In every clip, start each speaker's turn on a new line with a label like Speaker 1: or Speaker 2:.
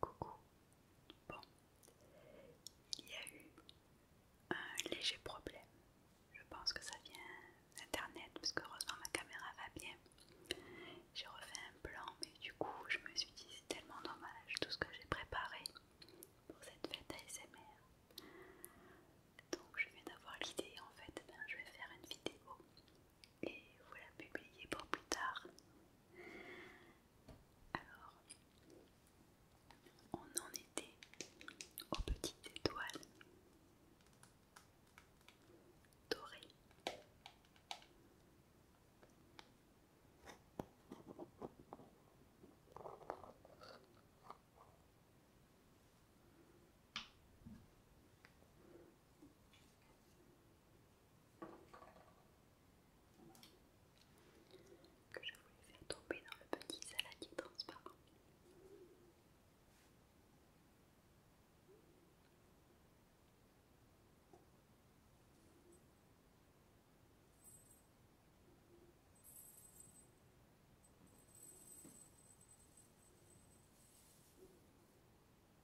Speaker 1: Coucou. Bon, il y a eu un léger problème. Je pense que ça vient d'internet parce que heureusement ma caméra va bien. J'ai refait un plan, mais du coup, je me suis dit c'est tellement dommage tout ce que j'ai préparé pour cette fête ASMR. Donc, je viens d'avoir l'idée en fait, eh ben, je vais faire une vidéo et vous la publiez pour plus tard. Alors, on en était aux petites étoiles dorées que je voulais faire tomber dans le petit saladier transparent.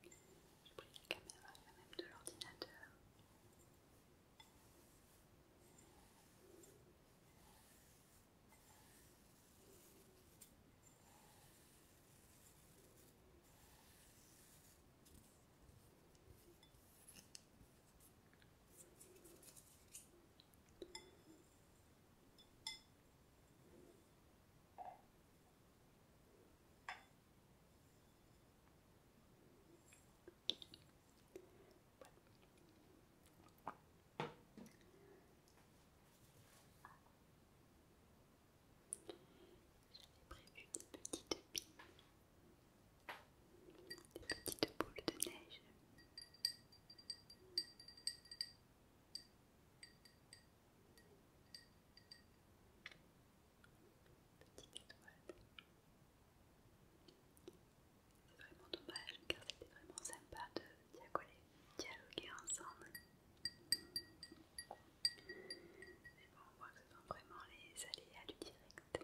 Speaker 1: J'ai pris la caméra même de l'ordinateur. J'avais prévu des petites billes, des petites boules de neige. Petite étoile. C'est vraiment dommage car c'était vraiment sympa de dialoguer, ensemble. Mais bon, on voit que ce sont vraiment les aléas du direct.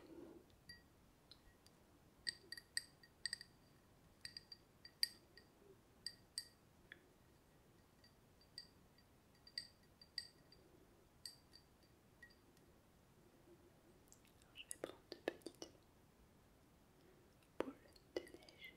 Speaker 1: Alors je vais prendre de petites boules de neige.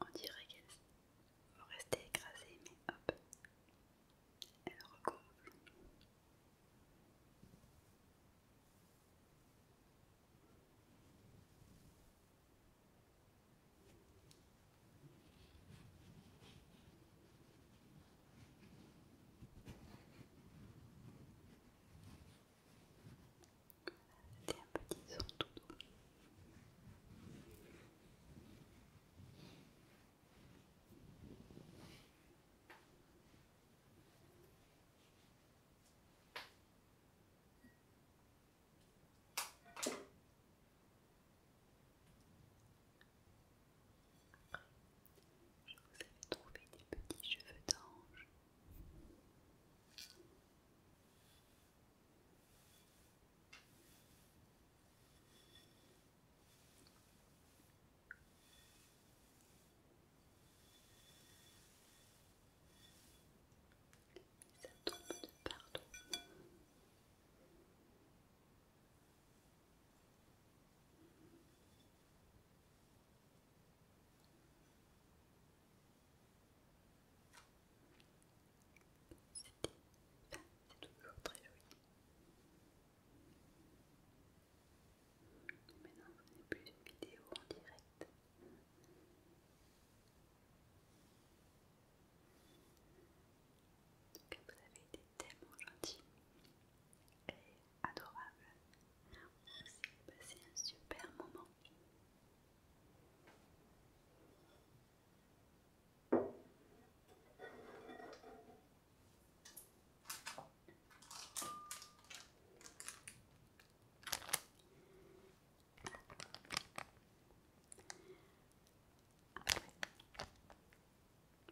Speaker 1: On dirait qu'elle va rester écrasée, mais hop, elle recouvre. C'était un petit tout doux. Je vous avais trouvé des petits cheveux d'ange ça tombe de partout. C'était ben, toujours très joli. Maintenant, ce n'est plus une vidéo en direct vous avez été tellement gentil et adorable. C'est passé un super moment. Après,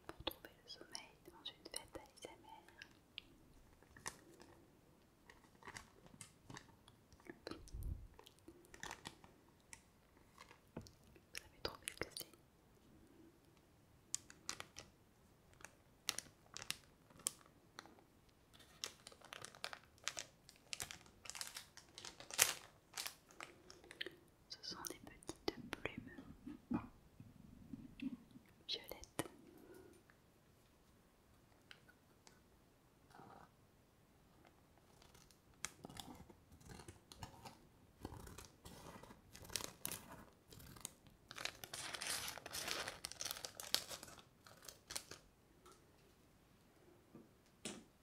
Speaker 1: pour trouver le sommeil dans une fête à ASMR, vous avez trouvé ce que c'est ce sont des petites plumes violettes.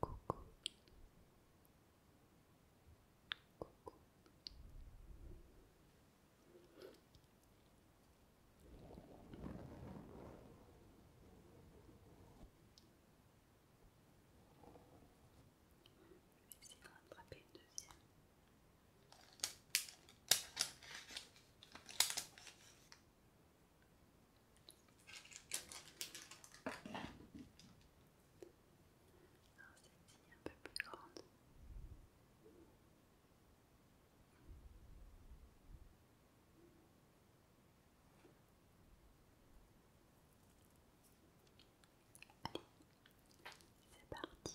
Speaker 1: Coucou. Coucou. Je vais essayer rattraper une deuxième. Alors celle-ci un peu plus grande. Allez, c'est parti.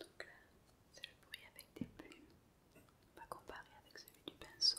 Speaker 1: Donc euh, c'est le bruit avec des plumes. pas va comparer avec celui du pinceau.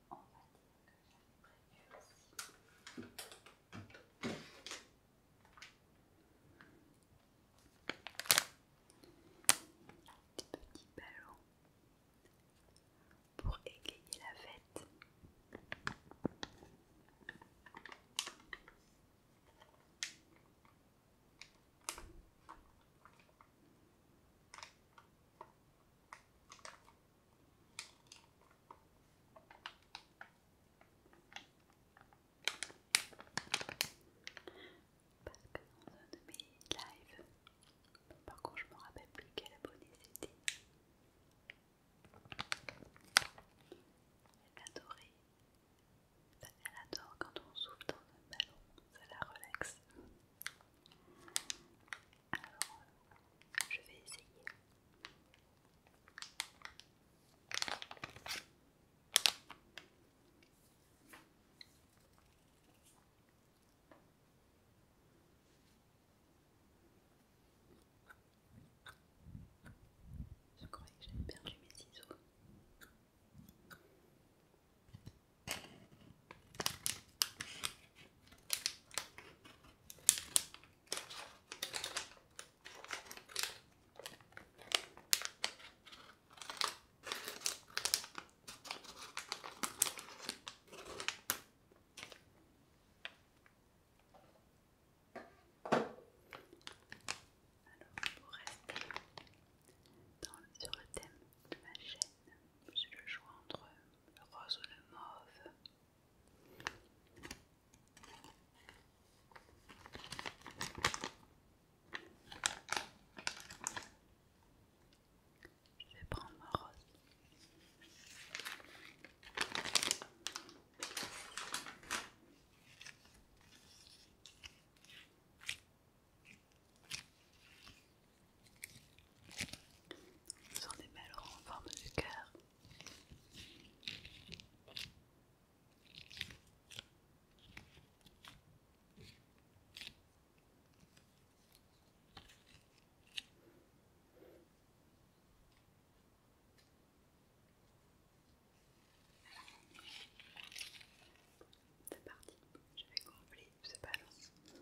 Speaker 1: on va dire que j'avais prévu aussi. Petit ballon pour égayer la fête. Parce que dans un de mes lives, par contre je me rappelle plus quel abonné c'était. Elle adorait. elle adore quand on souffle dans un ballon, ça la relaxe je vais essayer. Je croyais que j'avais perdu mes ciseaux. Alors, pour rester dans le, sur le thème de ma chaîne, je le choix entre le rose ou le mauve. Je vais prendre ma rose. Vous en des belles en forme du cœur. C'est parti, je vais combler ce ballon.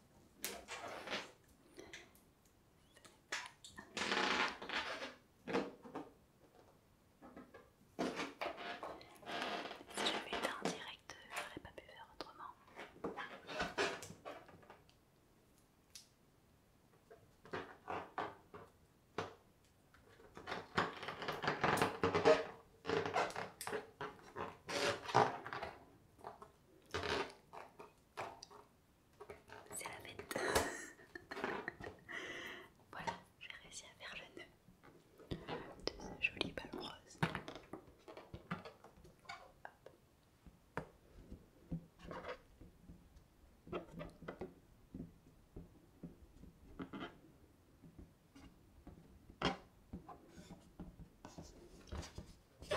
Speaker 1: Si j'avais été en direct, je n'aurais pas pu faire autrement. C'est la bête. voilà, j'ai réussi à faire le nœud de ce joli ballon rose. Je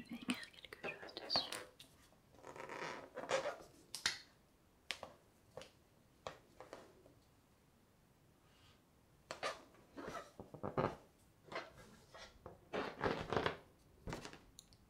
Speaker 1: vais écrire quelque chose dessus.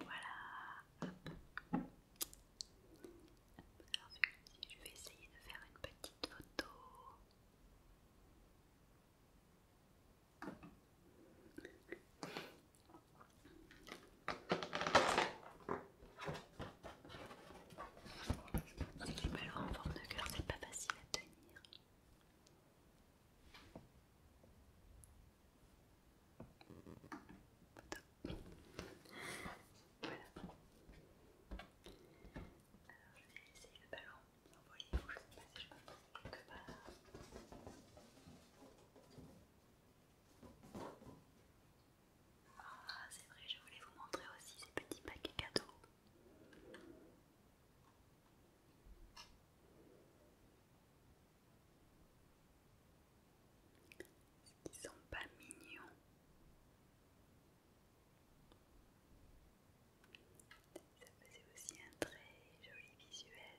Speaker 1: Voilà. je vais essayer de faire une petite photo. C'est Les ballons en forme de cœur, c'est pas facile à tenir. Voilà. Alors je vais essayer le ballon ah, c'est vrai, je voulais vous montrer aussi ces petits paquets cadeaux. Ils sont pas mignons. Ça faisait aussi un très joli visuel. Et très joli visuel.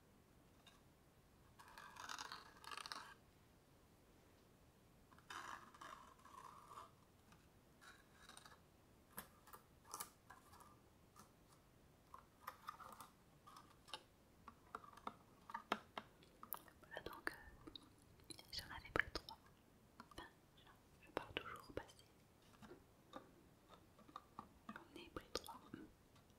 Speaker 1: Voilà donc, euh, j'en avais pris trois. Enfin, je pars toujours passer. passé. J'en ai pris trois.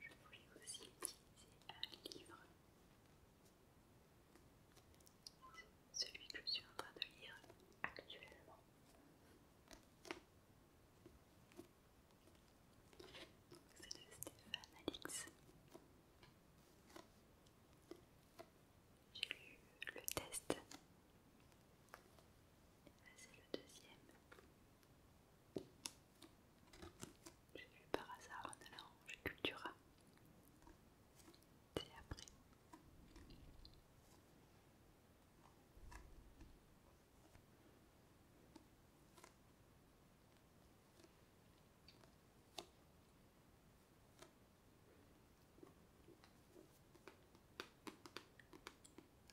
Speaker 1: Je voulais aussi utiliser un livre, celui que je suis en train de lire actuellement. C'est de Stéphane Alix. J'ai lu le test. C'est le deuxième. J'ai vu par hasard un allant chez Cultura. C'est après.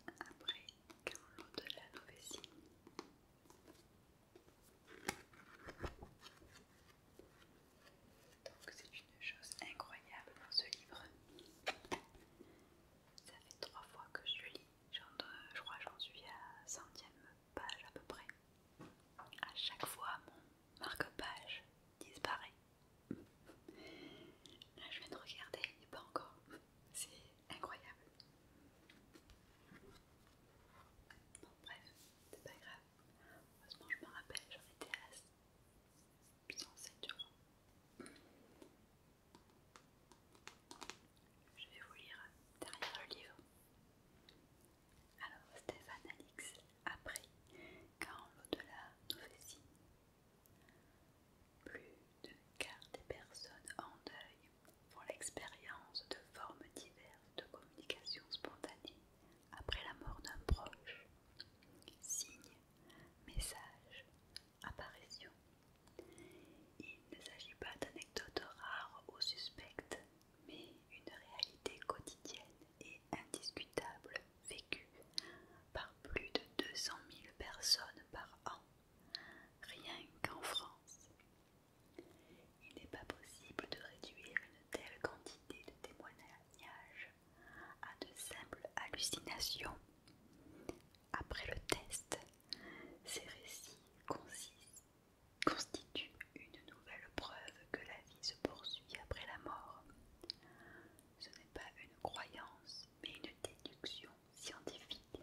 Speaker 1: Après, quand l'eau de la Novétie, donc c'est une chose incroyable dans ce livre. Ça fait trois fois que je le lis. Je crois que j'en suis à centième page à peu près. À chaque fois mon marque-page disparaît. Là je viens de regarder, il n'est pas encore. C'est incroyable. Bon, bref, c'est pas grave. Heureusement, je me rappelle, j'en étais à 107 euros. Je vais vous lire derrière le livre. Alors, Stéphane Alix apprit qu'en l'au-delà nous fait Plus de quart des personnes en deuil font l'expérience de formes diverses de communication spontanée après la mort d'un proche. Signes, messages, apparitions. Il ne s'agit pas d'anecdotes rares ou suspectes, mais une réalité quotidienne et indiscutable vécue par plus de 200 000 personnes par an, rien qu'en France. Il n'est pas possible de réduire une telle quantité de témoignages à de simples hallucinations. Après le test, ces récits constituent une nouvelle preuve que la vie se poursuit après la mort. Ce n'est pas une croyance, mais une déduction scientifique.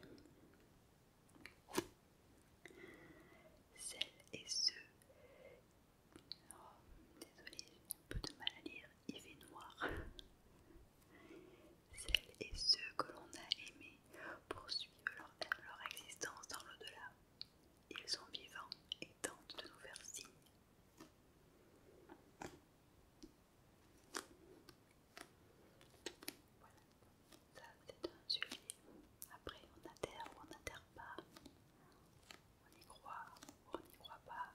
Speaker 1: Celles et ceux. Oh, j'ai un peu de mal à lire, il fait noir. Celles et ceux que l'on a aimés poursuivent leur, existence dans l'au-delà. Ils sont vivants et tentent de nous faire signe. Ça, c'est un sujet. Après, on adhère ou on n'adhère pas. On y croit ou on n'y croit pas.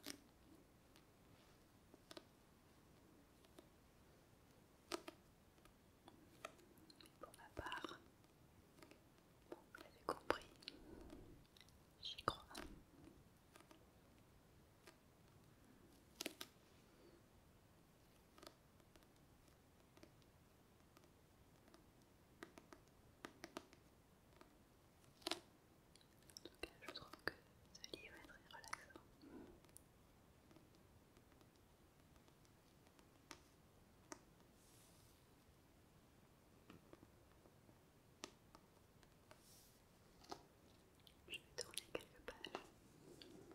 Speaker 1: Mais pour ma part, vous l'avez compris, j'y crois. En tout cas, je trouve que ce livre est très relaxant. Je vais tourner quelques pages.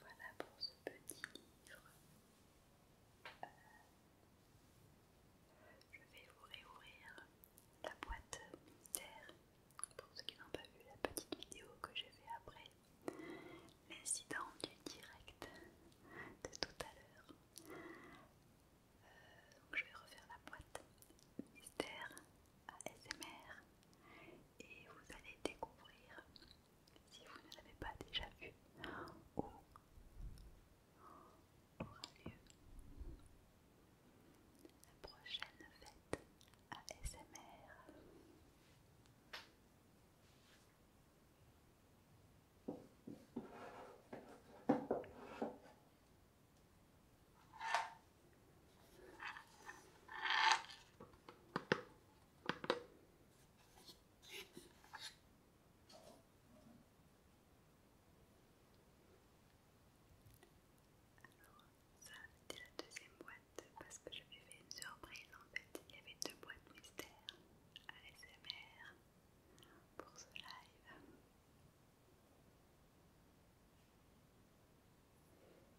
Speaker 1: Voilà pour ce petit livre. Euh, je vais vous réouvrir la boîte mystère pour ceux qui n'ont pas vu la petite vidéo que j'ai fait après l'incident du direct de tout à l'heure. Euh, donc je vais refaire la boîte mystère à SMR et vous allez découvrir si vous ne l'avez pas déjà vu aura lieu la prochaine fête ASMR. Alors, ça c'était la deuxième boîte parce que je lui ai fait une surprise en fait. Il y avait deux boîtes mystères ASMR pour ce live.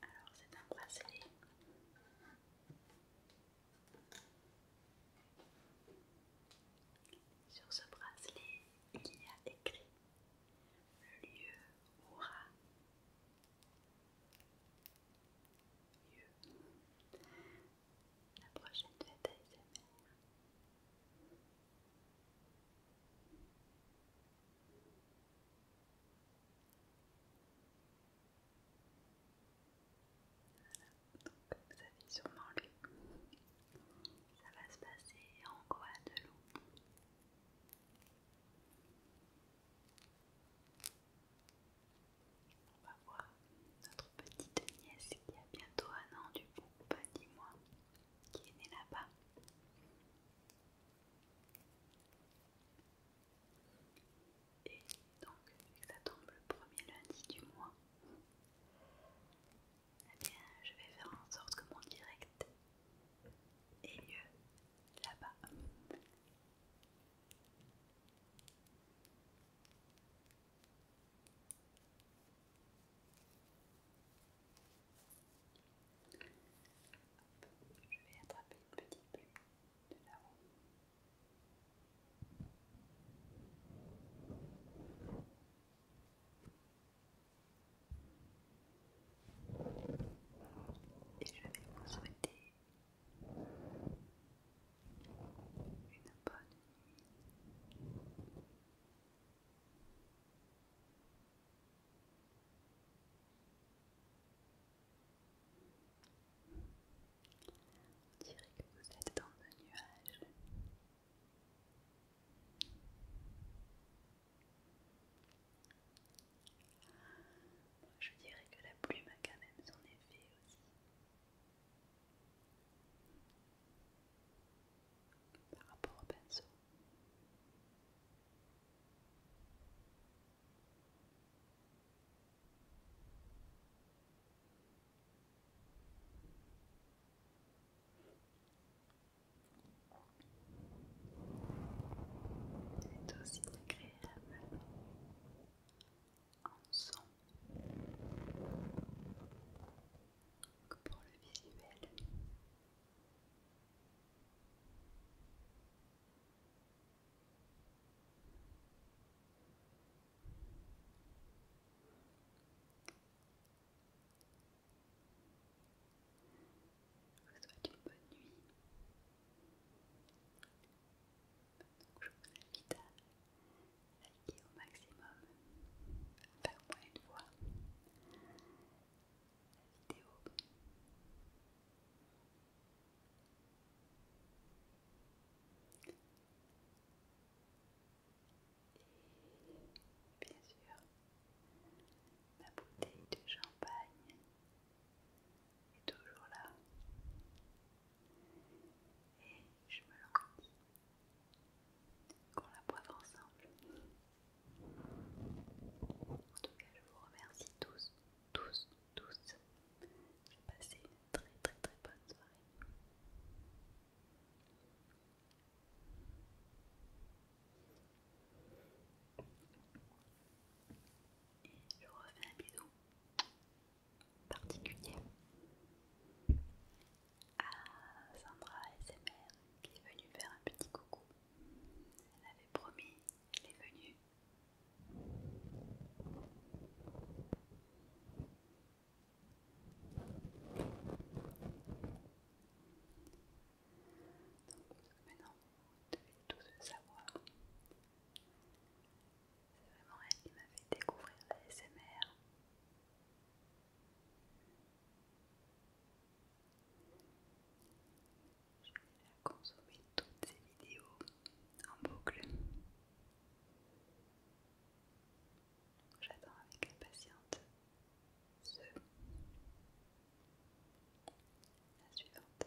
Speaker 1: Alors c'est un bracelet. Sur ce bracelet, il y a écrit le lieu aura. La prochaine fête ASMR donc vous avez sûrement lu. Ça va se passer en Guadeloupe. On va voir notre petite nièce qui a bientôt un an du coup, pas dix mois qui est né là-bas. Et donc, vu que ça tombe le premier lundi du mois, eh bien, je vais faire en sorte que mon direct est mieux là-bas je vais attraper une petite plume de là-haut. Et je vais vous souhaiter une bonne nuit. On dirait que vous êtes dans un nuage. je dirais que la plume a quand même son effet aussi. Par rapport au pinceau. C'est aussi agréable en son que pour le visuel. Je vous souhaite une bonne nuit. Donc je vous invite à liker au maximum, faire au une fois la vidéo. Et bien sûr, ma bouteille de champagne est toujours là. Et je me lance qu'on la boive ensemble. En tout cas, je vous remercie tous, tous, tous. J'ai passé une très, très, très bonne soirée. Et je reviens un bisou particulier à ah, Sandra SMR qui est venue faire un petit coucou. Elle avait promis, elle est venue. Donc maintenant, vous devez tous le savoir. C'est vraiment elle qui m'a fait découvrir la SMR. Je vais consommer toutes ces vidéos en boucle. J'attends avec impatience ce la suivante.